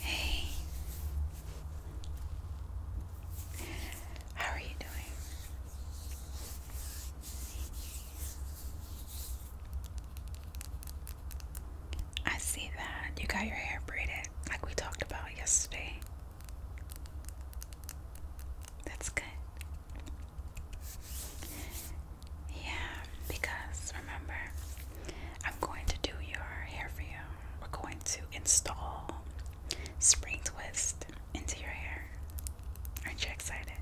Hey, how are you doing? I see that you got your hair braided like we talked about yesterday. That's good. Yeah, because remember, I'm going to do your hair for you. We're going to install Spring Twist into your hair. Aren't you excited?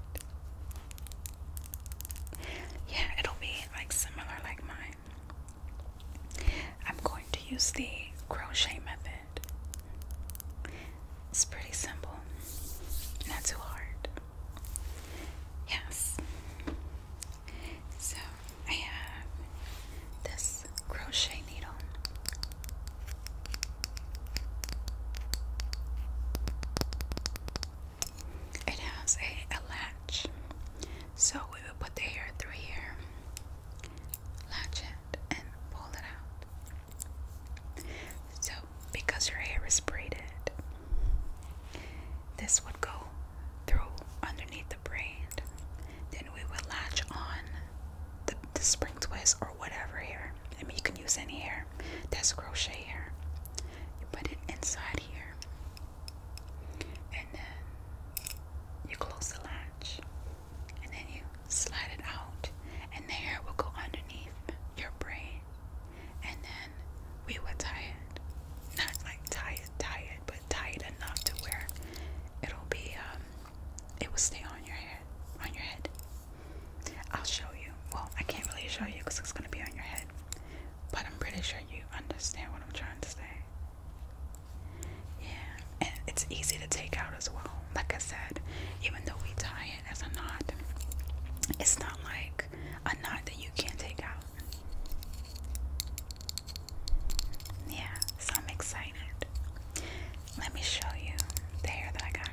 Yeah, it'll be like similar like mine. I'm going to use the crochet method. It's pretty simple, not too hard. Yes. So I have this crochet needle. It has a, a latch, so we will put the hair through here latch it and pull it out. So, because your hair is braided, this would go through underneath the braid. Then we would latch on the, spring twist or whatever here. I mean, you can use any hair that's crochet hair. You put it inside here and then you close the latch, and then you slide it out, and the hair will go underneath your braid, and then we would tie it, not like tie it, tie it, but tie it enough to where it'll be, um, it will stay on your head, on your head. I'll show you. Well, I can't really show you because it's gonna be on your head, but I'm pretty sure you understand what I'm trying to say. Yeah, and it's easy to take out as well. Like I said, even though we tie it as a knot, it's not like a knot that you can't take out. Yeah, so I'm excited. Let me show you the hair that I got.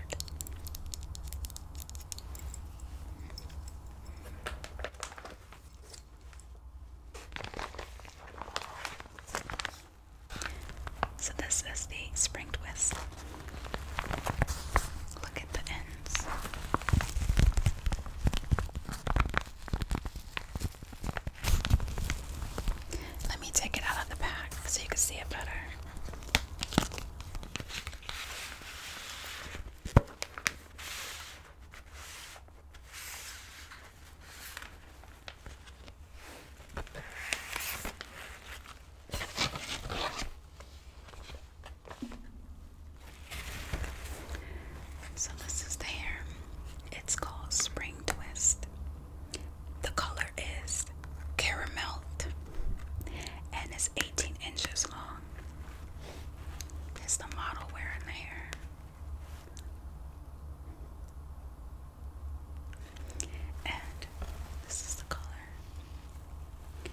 So this is the spring twist. Look at the ends. Let me take it out of the pack so you can see it better. So this is the hair. It's called Spring Twist. The color is caramel and it's 18 inches long. It's the model wearing the hair. And this is the color. It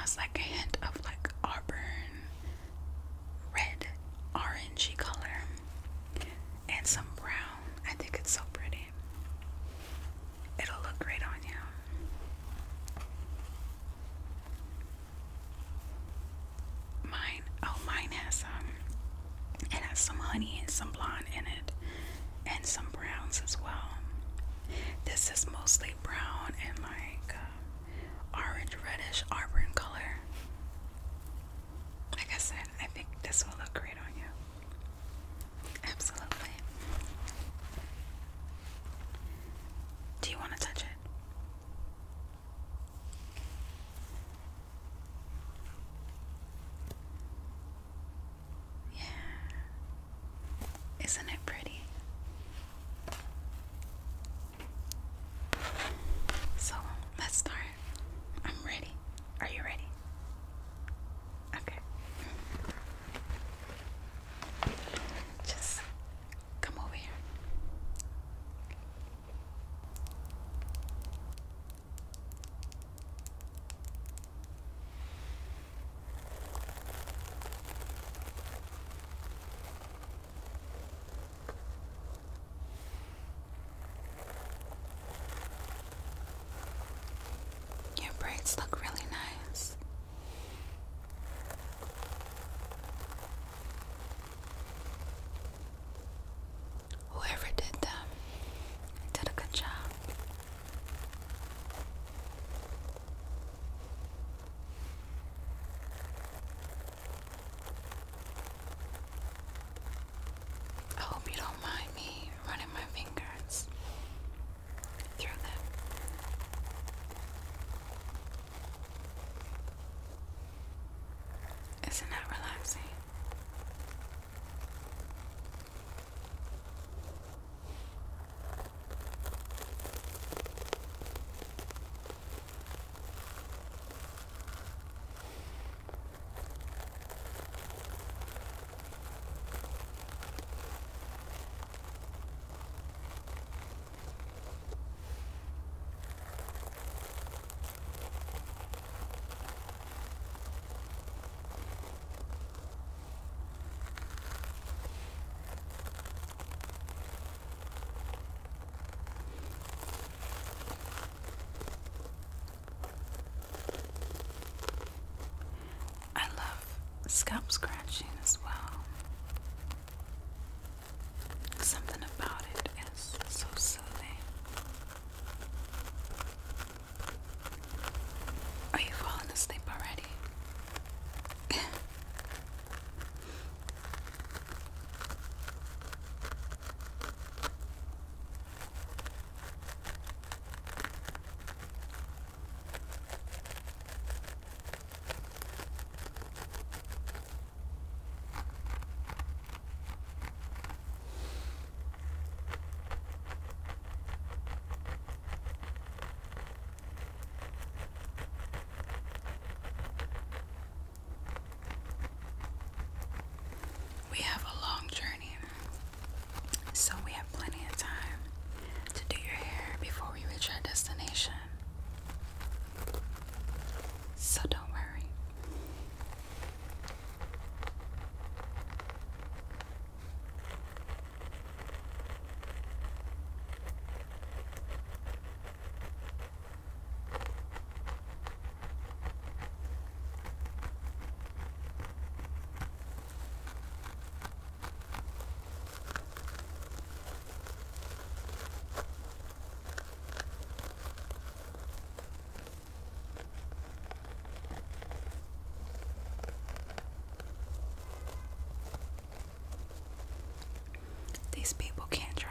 has like a hint of like auburn, red, orangey color, and some brown. I think it's so pretty. It'll look great on you. Mine, oh, mine has um, it has some honey and some blonde in it, and some browns as well. This is mostly brown and like uh, orange, reddish, auburn color. Like I said, I think this will look great on you. Absolutely. Do you want to touch it? Yeah. Isn't it pretty? So let's start. I'm ready. Are you ready? Okay. Just come over here. Your braids look really nice. Whoever did them did a good job. I hope you don't me running my fingers through them. Isn't that relaxing? I love scalp scratching as well. Something about it is so soothing. Are you falling asleep already? We have a long journey, so we have plenty of time to do your hair before we reach our destination. So don't worry. These people can't drive.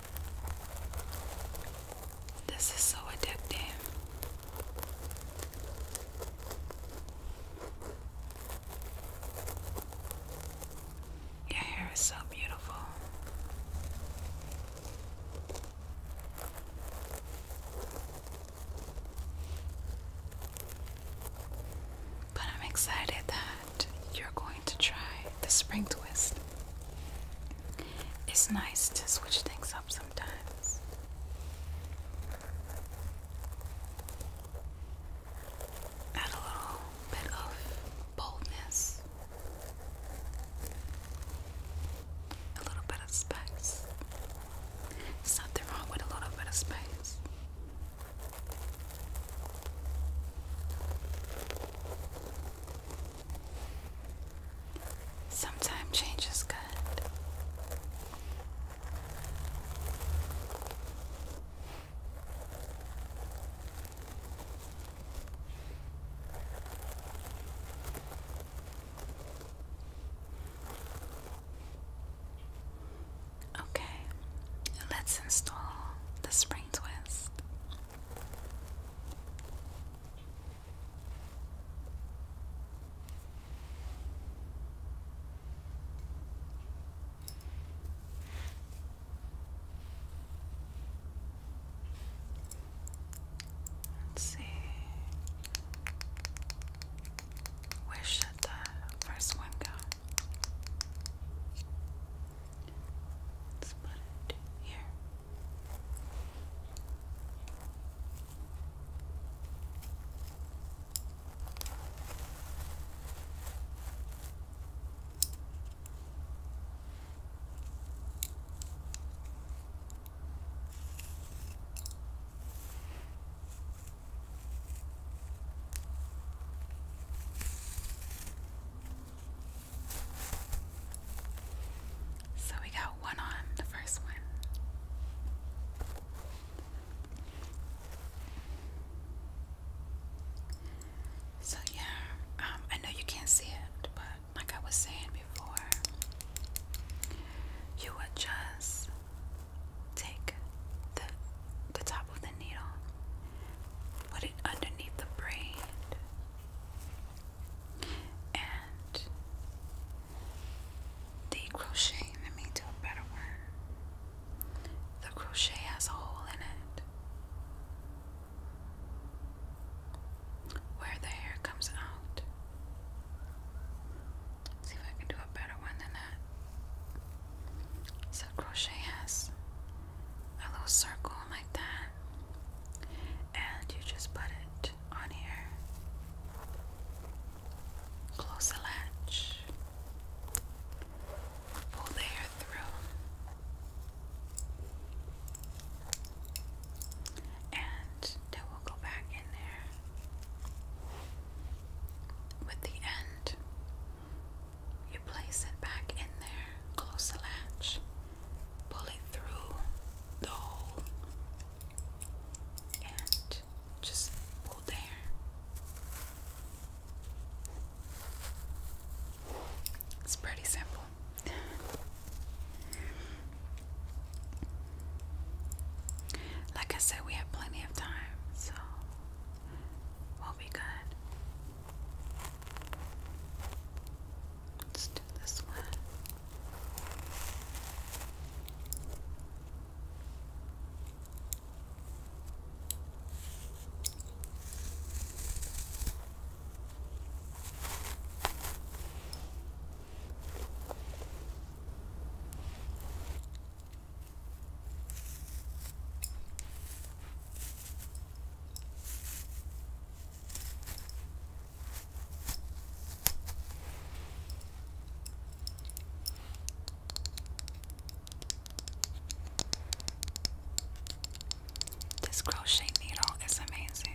This is so addictive. Your hair is so beautiful. But I'm excited that you're going to try the spring twist. It's nice to switch things up sometimes. Add a little bit of boldness, a little bit of spice. There's wrong with a little bit of spice. Sometimes change is good. Okay, let's install the spring twist. Let's see. Where should the first one go? Let's put it here. Okay. So we got one on the first one. So, yeah, um, I know you can't see it, but like I was saying before, you would just take the, the top of the needle, underneath the braid and the crochet, let me do a better one. The crochet has a hole in it where the hair comes out. see if I can do a better one than that. So crochet has a little circle like that, and you just put it on here. Close the latch, pull the hair through, and it will go back in there with the end. You place it back in there, close the latch, pull it through the hole, and just pull there. It's pretty simple. Like I said, we have plenty of time, so we'll be good. Let's do this one. This crochet needle is amazing.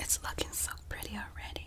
It's looking so pretty already.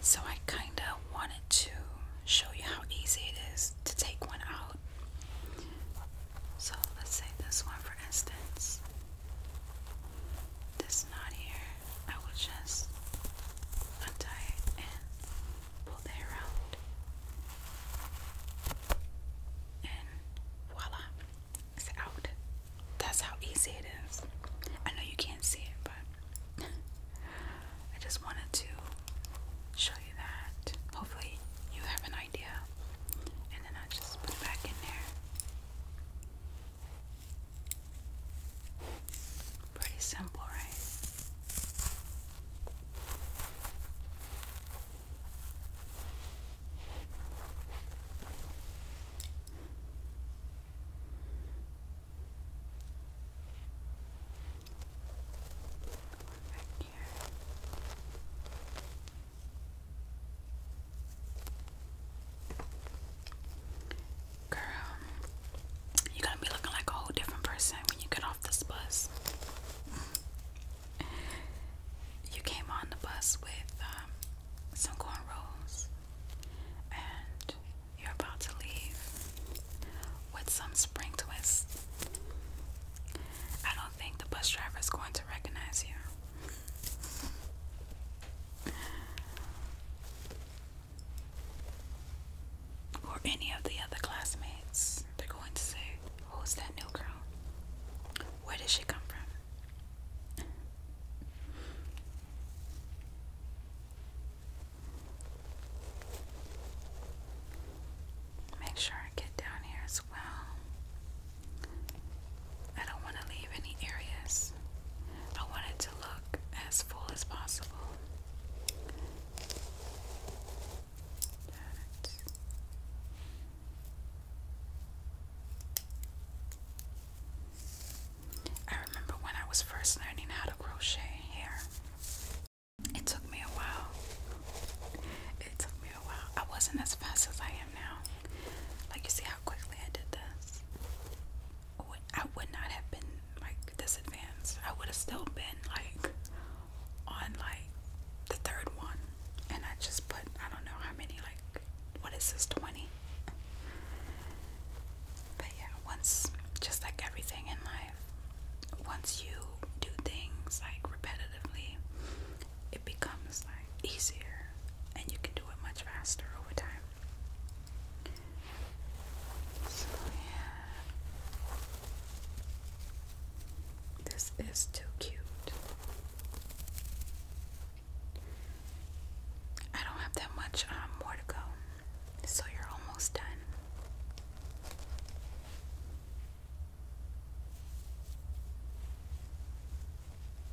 So, I kind of wanted to show you how easy it is to take one out. So, let's say this one for instance this knot here, I will just untie it and pull the hair And voila, it's out. That's how easy it is. I know you can't see it, but I just wanted to show you that. Hopefully, you have an idea. And then I just put it back in there. Pretty simple, right? Back here. Girl, you're gonna be looking like a whole different person when you get off this bus. you came on the bus with um, some cornrows, and you're about to leave with some spring twists. I don't think the bus driver is going to recognize you or any of the other classmates, they're going to say, Who's that new girl? Where does she come from? Make sure I get down here as well. I don't want to leave any areas I want it to look as full as possible. I remember when I was first learning how to crochet hair. It took me a while. It took me a while. I wasn't as fast as I am now. Like you see how quickly I did this. I would not have been like this I would have still been like on like the third one, and I just put I don't know how many like what is this twenty? But yeah, once just like everything in life, once you do things like repetitively, it becomes like easier, and you can do it much faster over time. So yeah. This is too cute. I don't have that much um, more to go. So you're almost done.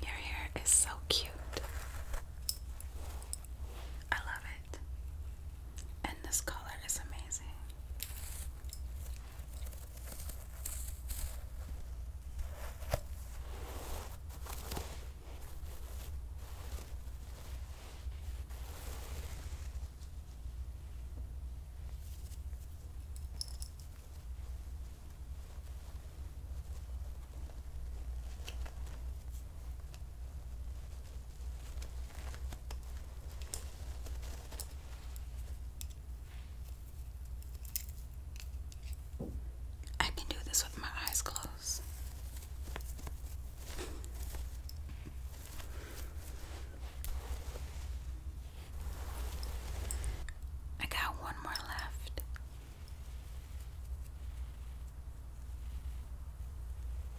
Your hair is so cute. I love it. And this color is amazing. I can do this with my eyes closed. I got one more left.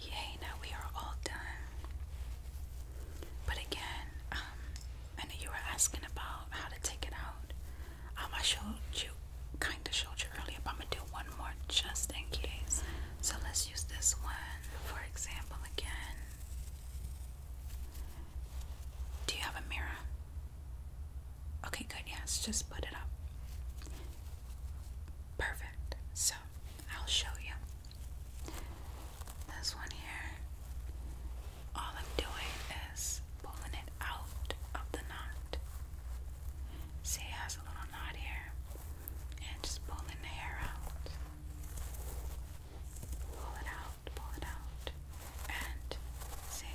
Yay, now we are all done. But again, um, I know you were asking about how to take it out. Um, I showed you, kind of showed you earlier, but I'm going to do one more just in case. So let's use this one, for example, again. Do you have a mirror? Okay, good. Yes, just put it up. Perfect. So, I'll show you. This one here, all I'm doing is pulling it out of the knot. See, it has a little knot here, and just pulling the hair out. Pull it out, pull it out, and see,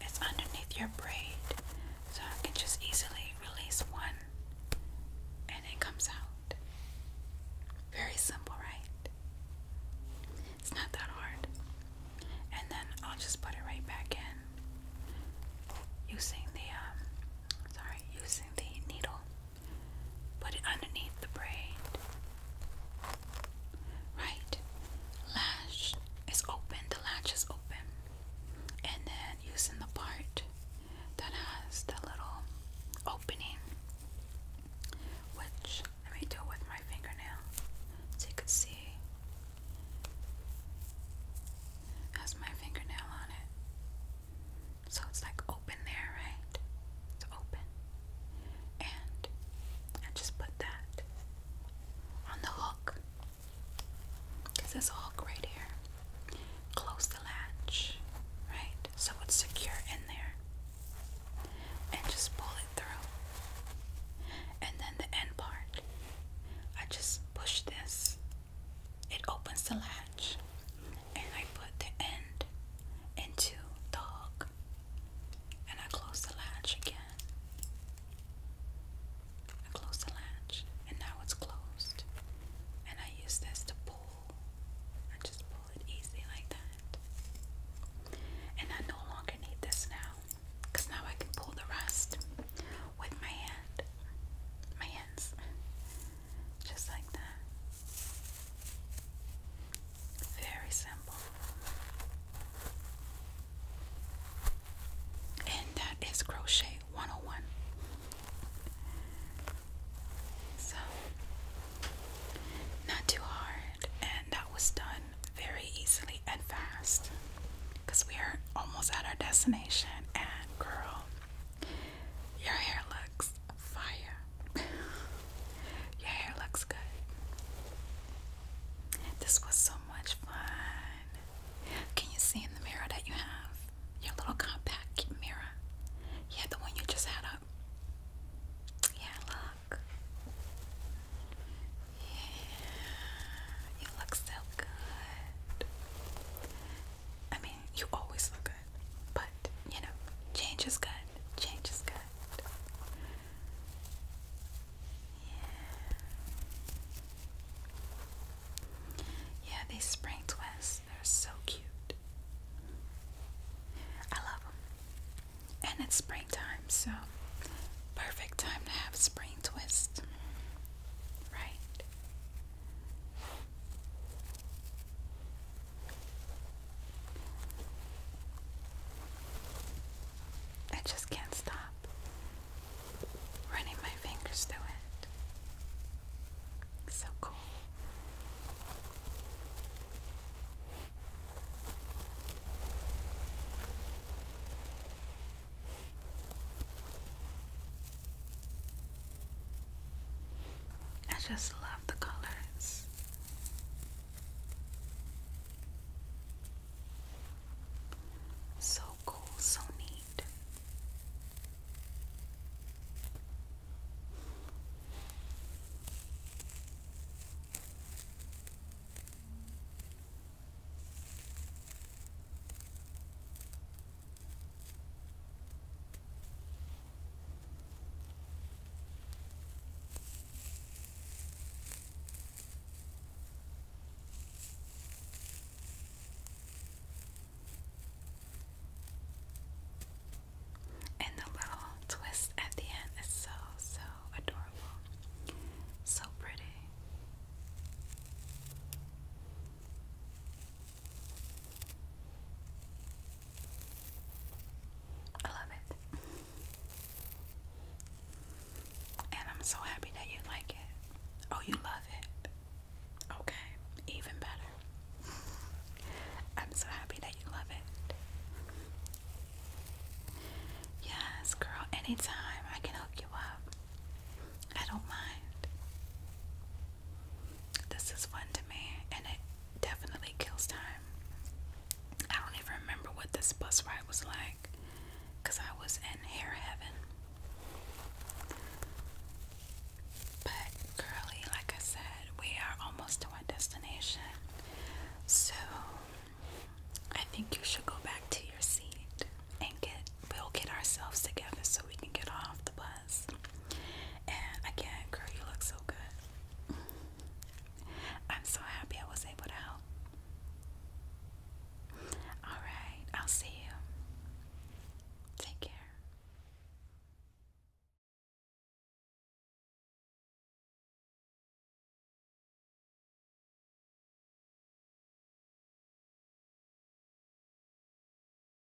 it's underneath your braid, so I can just easily release one and it comes out. Very simple, right? It's not that hard. And then I'll just put it right back in using the, um, sorry, using the needle. Put it underneath the braid. Right lash is open, the latch is open. And then using the part that has the little opening, which let me do it with my fingernail so you could see. Has my fingernail on it. So it's like open there, right? It's open. And I just put that on the hook. Because there's a hook right here. Close the latch, right? So it's secure in there. And just pull it through. And then the end part, I just push this. It opens the latch and I put the end into the hook and I close the latch again. I close the latch and now it's closed. And I use this to pull. I just pull it easy like that. And I no longer need this now because now I can pull the rest with my hand. My hands. Just like that. Very simple. And that is crochet 101. So, not too hard, and that was done very easily and fast because we are almost at our destination. And, girl, your hair looks fire. Your hair looks good. This was so much fun. Can you see in the mirror that you have? Your little compact mirror. Yeah, the one you just had up. Yeah, look. Yeah, you look so good. I mean, you always look good, but you know, change is good. Change is good. Yeah. Yeah, these spring twists, they're so cute. I love them. And it's springtime, so perfect time to have spring twist. Right? I just can't stop running my fingers through it. so cool. I just love the colors. So cool, so neat. And the little twist at the end is so, so adorable. So pretty. I love it. And I'm so happy that you like it. Oh, you love it. Okay, even better. I'm so happy that you love it. Yes, girl, anytime I can hook you up. I don't mind. This is fun to me, and it definitely kills time. I don't even remember what this bus ride was like because I was in hair heaven. But, girly, like I said, we are almost to our destination. So, I think you should go back to your seat and get, we'll get ourselves together so we can get off the bus mess. And again, girl, you look so good. I'm so happy I was able to help. Alright, I'll see you. Take care.